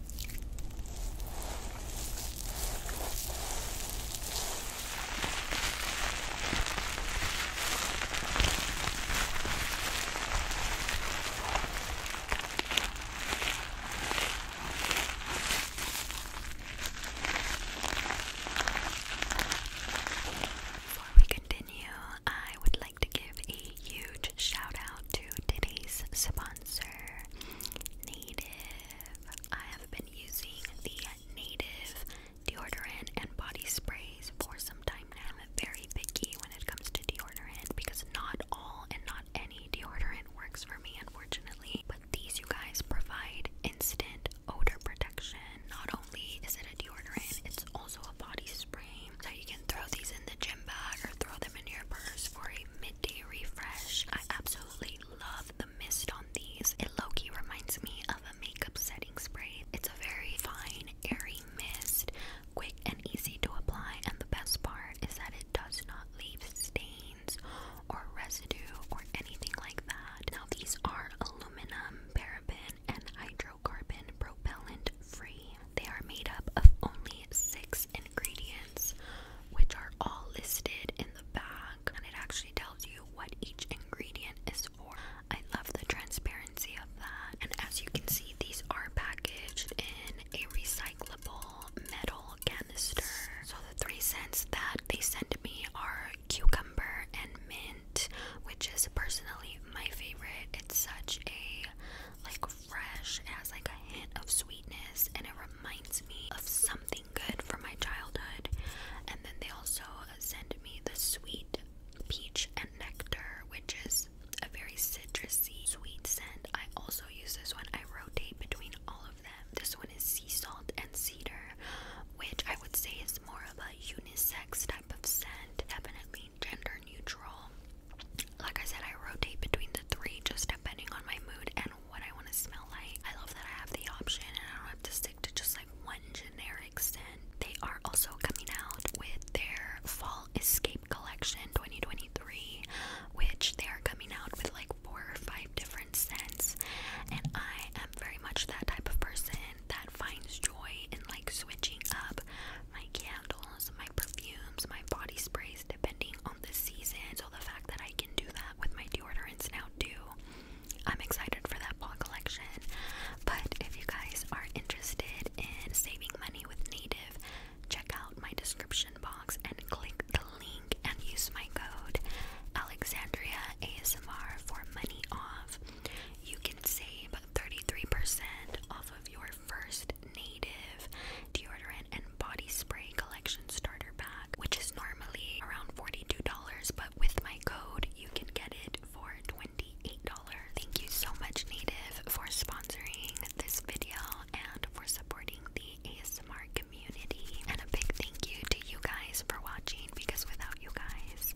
Before we continue, I would like to give a huge shout out to today's sponsor, Native I have been using the Native deodorant and body sprays for some time now. I'm very picky when it comes to deodorant because not all and not any deodorant works for me, unfortunately. But these, you guys, provide instant odor protection. Not only is it a deodorant, it's also a body spray. So you can throw these in the gym bag or throw them in your purse for a midday refresh. I absolutely really love the mist on these. It Loki reminds me of a makeup setting spray. It's a very fine, airy mist, quick and easy to apply, and the best part is that it does not leave stains or residue or anything like that. Now these are aluminum, paraben, and hydrocarbon propellant free. They are made up of only six ingredients, which are all listed in the bag, and it actually tells you what each ingredient is for. I love the transparency of that. And as you can see, these are packaged in a recyclable metal canister. So the three scents that they sent me are cucumber and mint, which is personally my favorite. It's such a like fresh. It has like a hint of sweetness and it reminds me of something good from my childhood. And then they also send me the sweet peach and nectar, which is a very citrusy sweet scent. I also use this one. I rotate between all of them. This one is sea salt and cedar, which I would say is more of a unisex type of scent, definitely gender neutral. Like I said, I rotate between the three just depending on my mood and what I want to smell like. I love that I have the option and I don't have to stick to just like one generic scent. They are also coming out with their Fall Escape Collection 2023, which they are coming out with like four or five different scents. And I am very much that type of person that finds joy in like switching up my candles, my perfumes, my body sprays, depending on the season. So the fact that I can do that with my deodorants now too, I'm excited for that paw collection. But if you guys are interested in saving money with Native, check out my description box and click the link and use my code Alexandria ASMR for money off. You can save 33% off of your first Native deodorant and body spray collection starter pack, which is normally around $42, but with my code, you can get it for $28. Thank you so much, Native, for sponsoring this video and for supporting the ASMR community. And a big thank you to you guys for watching because without you guys,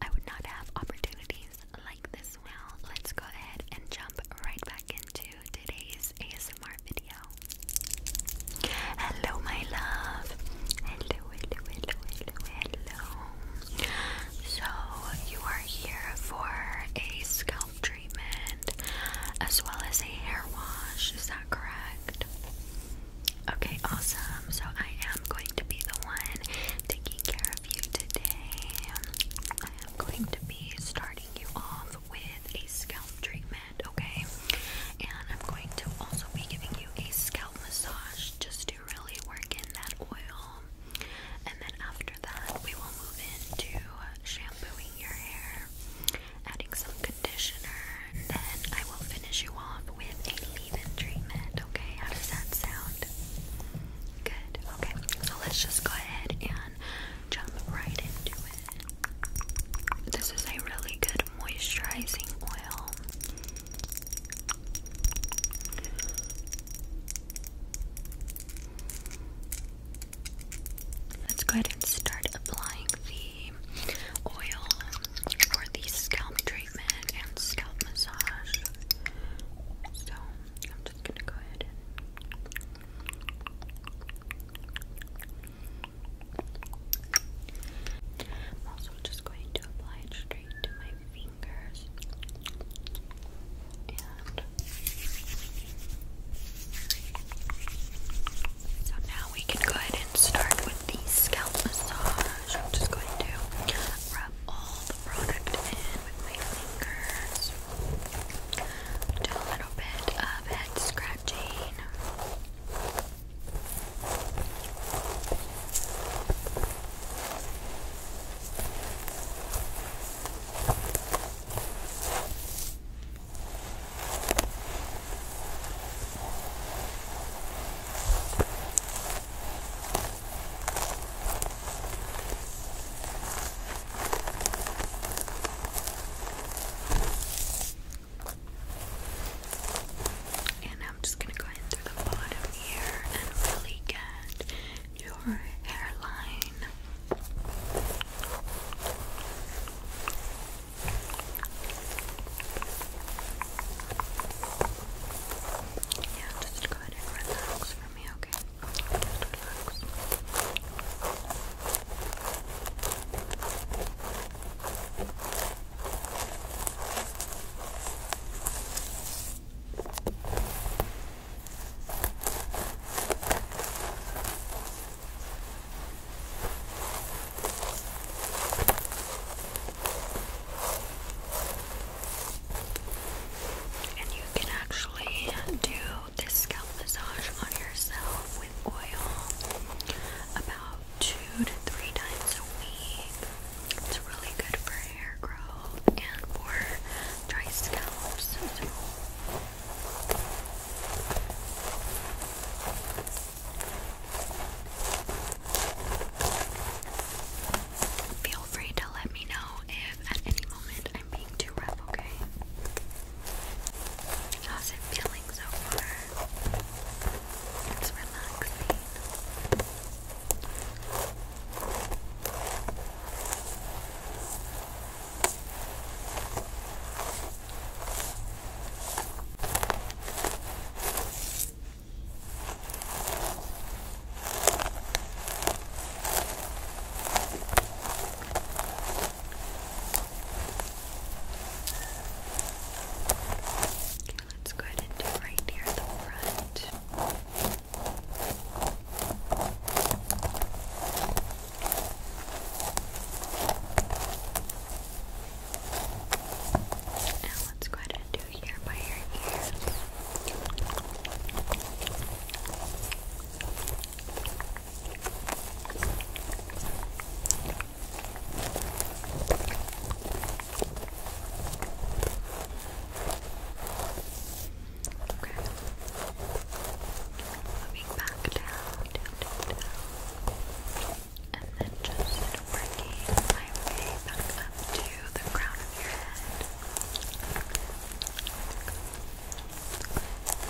I would not have opportunities like this. Now, let's go ahead and jump right back into to today's ASMR video. Hello, my love. Hello, hello, hello, hello, hello. So, you are here for a scalp treatment as well as a hair wash, is that correct? Okay, awesome. So, I am going to be the one taking care of you today. I am going to be starting you off with a scalp treatment, okay? And I'm going to also be giving you a scalp massage just to really work in that oil. And then after that, we will move into shampooing your hair, adding some conditioner, and then I will finish you off with a leave-in treatment, okay? How does that sound? Good. Okay. So let's just go ahead and jump right into it. This is a really good moisturizing oil. Let's go ahead and start applying the oil for the scalp treatment and scalp massage. So I'm just gonna go ahead I'm also just going to apply it straight to my fingers so now we can go ahead and start with the scalp massage. I'm just going to rub all the product in with my fingers do a little bit of head scratching. And I'm just gonna go in the bottom here and really get your hairline. Yeah, just go ahead and relax for me, okay? And you can actually do this scalp massage on yourself with oil about two to three times a week. It's really good for hair growth and for dry scalps. Feel free to let me know if at any moment I'm being too rough, okay? How's it feeling so far? It's relaxing. Okay, let's go ahead and do right near the front. Now let's go ahead and do here by your ears. Okay. Moving back down, down, down, down. And then just working my way back up to the crown of your head.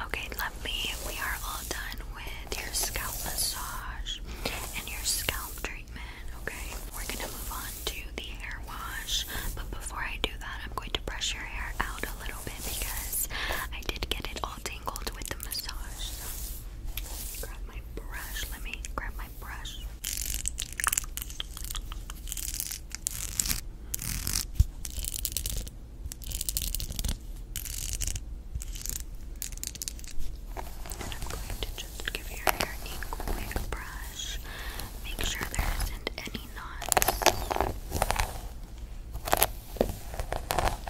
Okay, lovely. We are all done with your scalp massage and your scalp treatment. Okay, we're gonna move on to the hair wash, but before I do that, I'm going to brush your hair out a little bit because I did get it all tangled with the massage. grab my brush. Let me grab my brush. And I'm going to just give your hair a quick brush. Make sure there isn't any knots.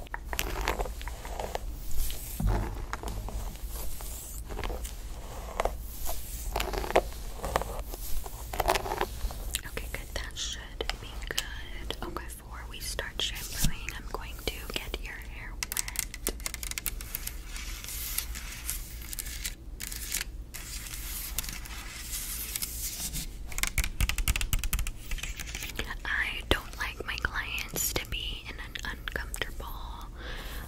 Okay, good. That should be good. Oh, before we start shampooing, I'm going to get your hair wet. I don't like my clients to be in an uncomfortable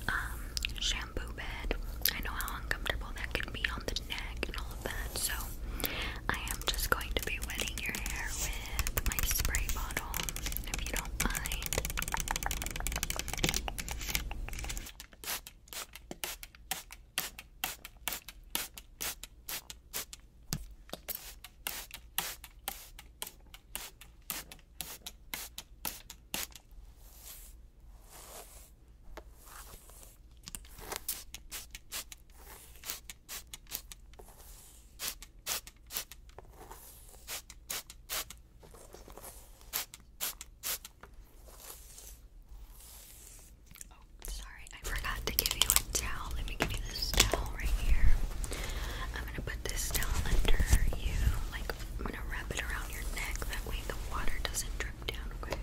um, shampoo bed. I know how uncomfortable that can be on the neck and all of that, so I am just going to be wetting your hair with my spray bottle, if you don't mind. Oh, sorry, I forgot to give you towel. Let me give you this towel right here. I'm gonna put this towel under you. Like I'm gonna wrap it around your neck. That way the water doesn't drip down. Okay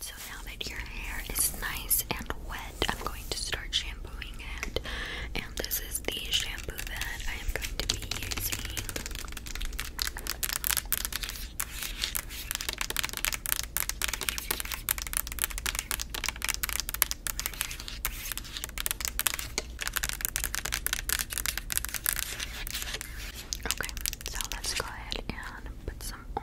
so now that your hair is nice and wet, I'm going to start shampooing it. And this is the shampoo that I am going to be using. Okay, so let's go ahead and put some on.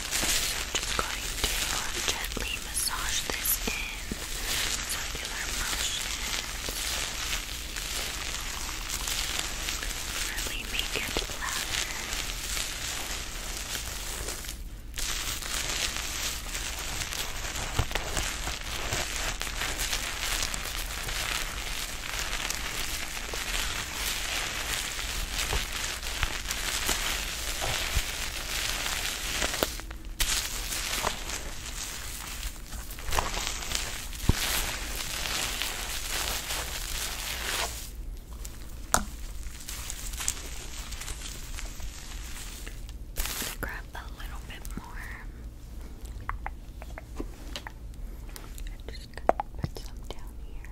just going to gently massage this in circular motions. Really make it flatter. Grab a little bit more. I'm just gonna put some down here.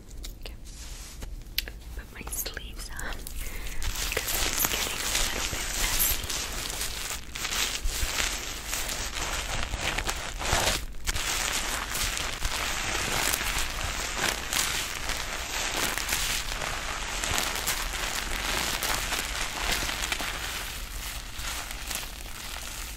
Put my sleeves on because it's getting a little bit messy.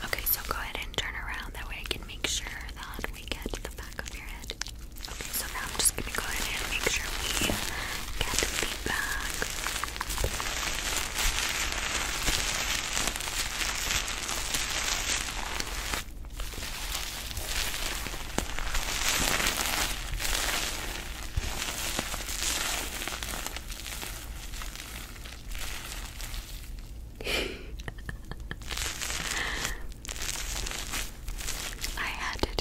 Okay, so go ahead and turn around. That way I can make sure that we get the back of your head. Okay, so now I'm just gonna go ahead and make sure we get the back. I had to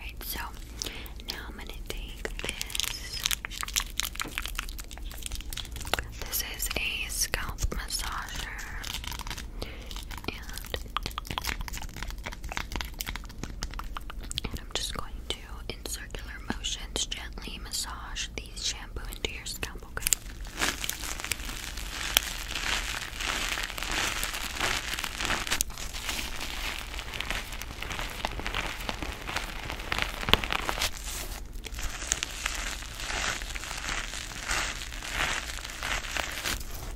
Alright, so now I'm gonna take this. This is a scalp massager. And I'm just going to, in circular motions, gently massage these shampoo into your scalp, okay?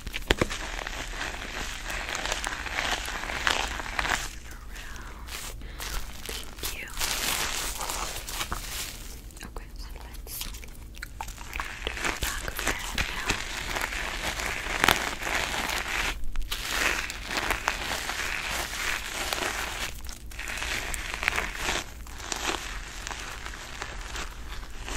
Thank you. Okay, so let's do the back of your head now. Okay,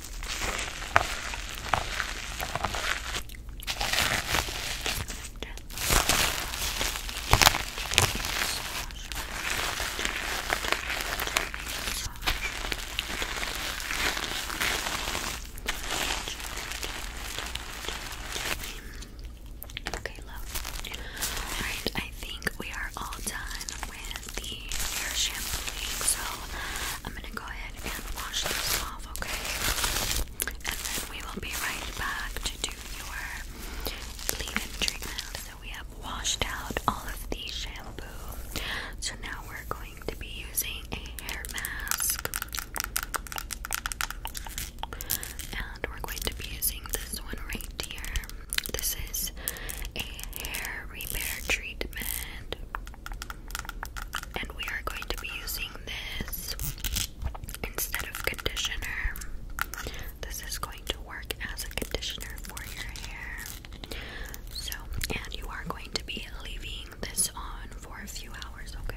Okay, love. Alright, I think we are all done with the hair shampooing, so I'm gonna go ahead and wash this off, okay? And then we will be right back to do your leave-in treatment. So we have washed out all of the shampoo. So now we're going to be using a hair mask. And we're going to be using this one right here. This is a hair repair treatment. And we are going to be using this instead of conditioner. This is going to work as a conditioner for your hair. So, and you are going to be leaving this on for a few hours, okay?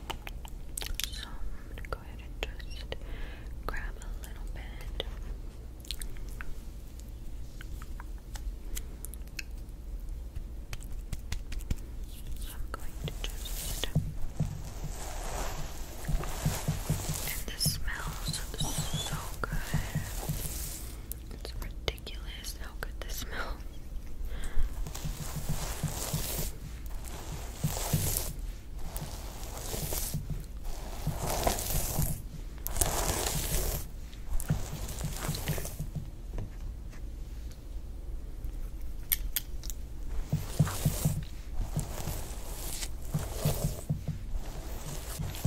So I'm going to go ahead and just grab a little bit. I'm going to just. And this smells so good. It's ridiculous how good this smells.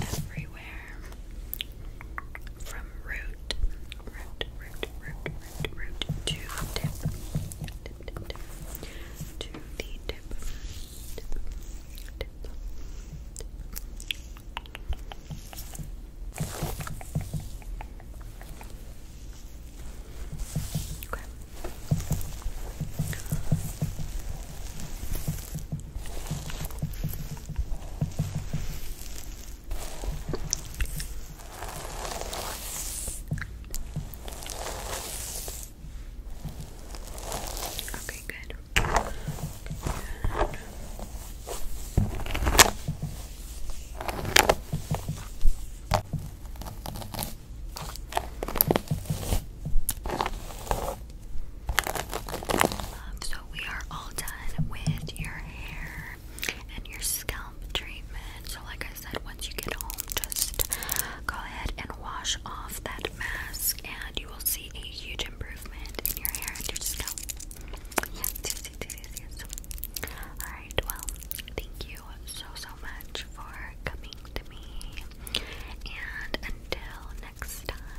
Everywhere from root, root, root, root, root, root to tip, tip, tip, to the tip. Okay. Okay, good. Um, so we are all done with your hair and your scalp treatment. So, like I said once you get home, just go ahead and wash off that mask, and you will see a huge improvement in your hair and your scalp. Yes, yes, yes, yes, yes. Alright, well, thank you so, so much for coming to me. And until next time.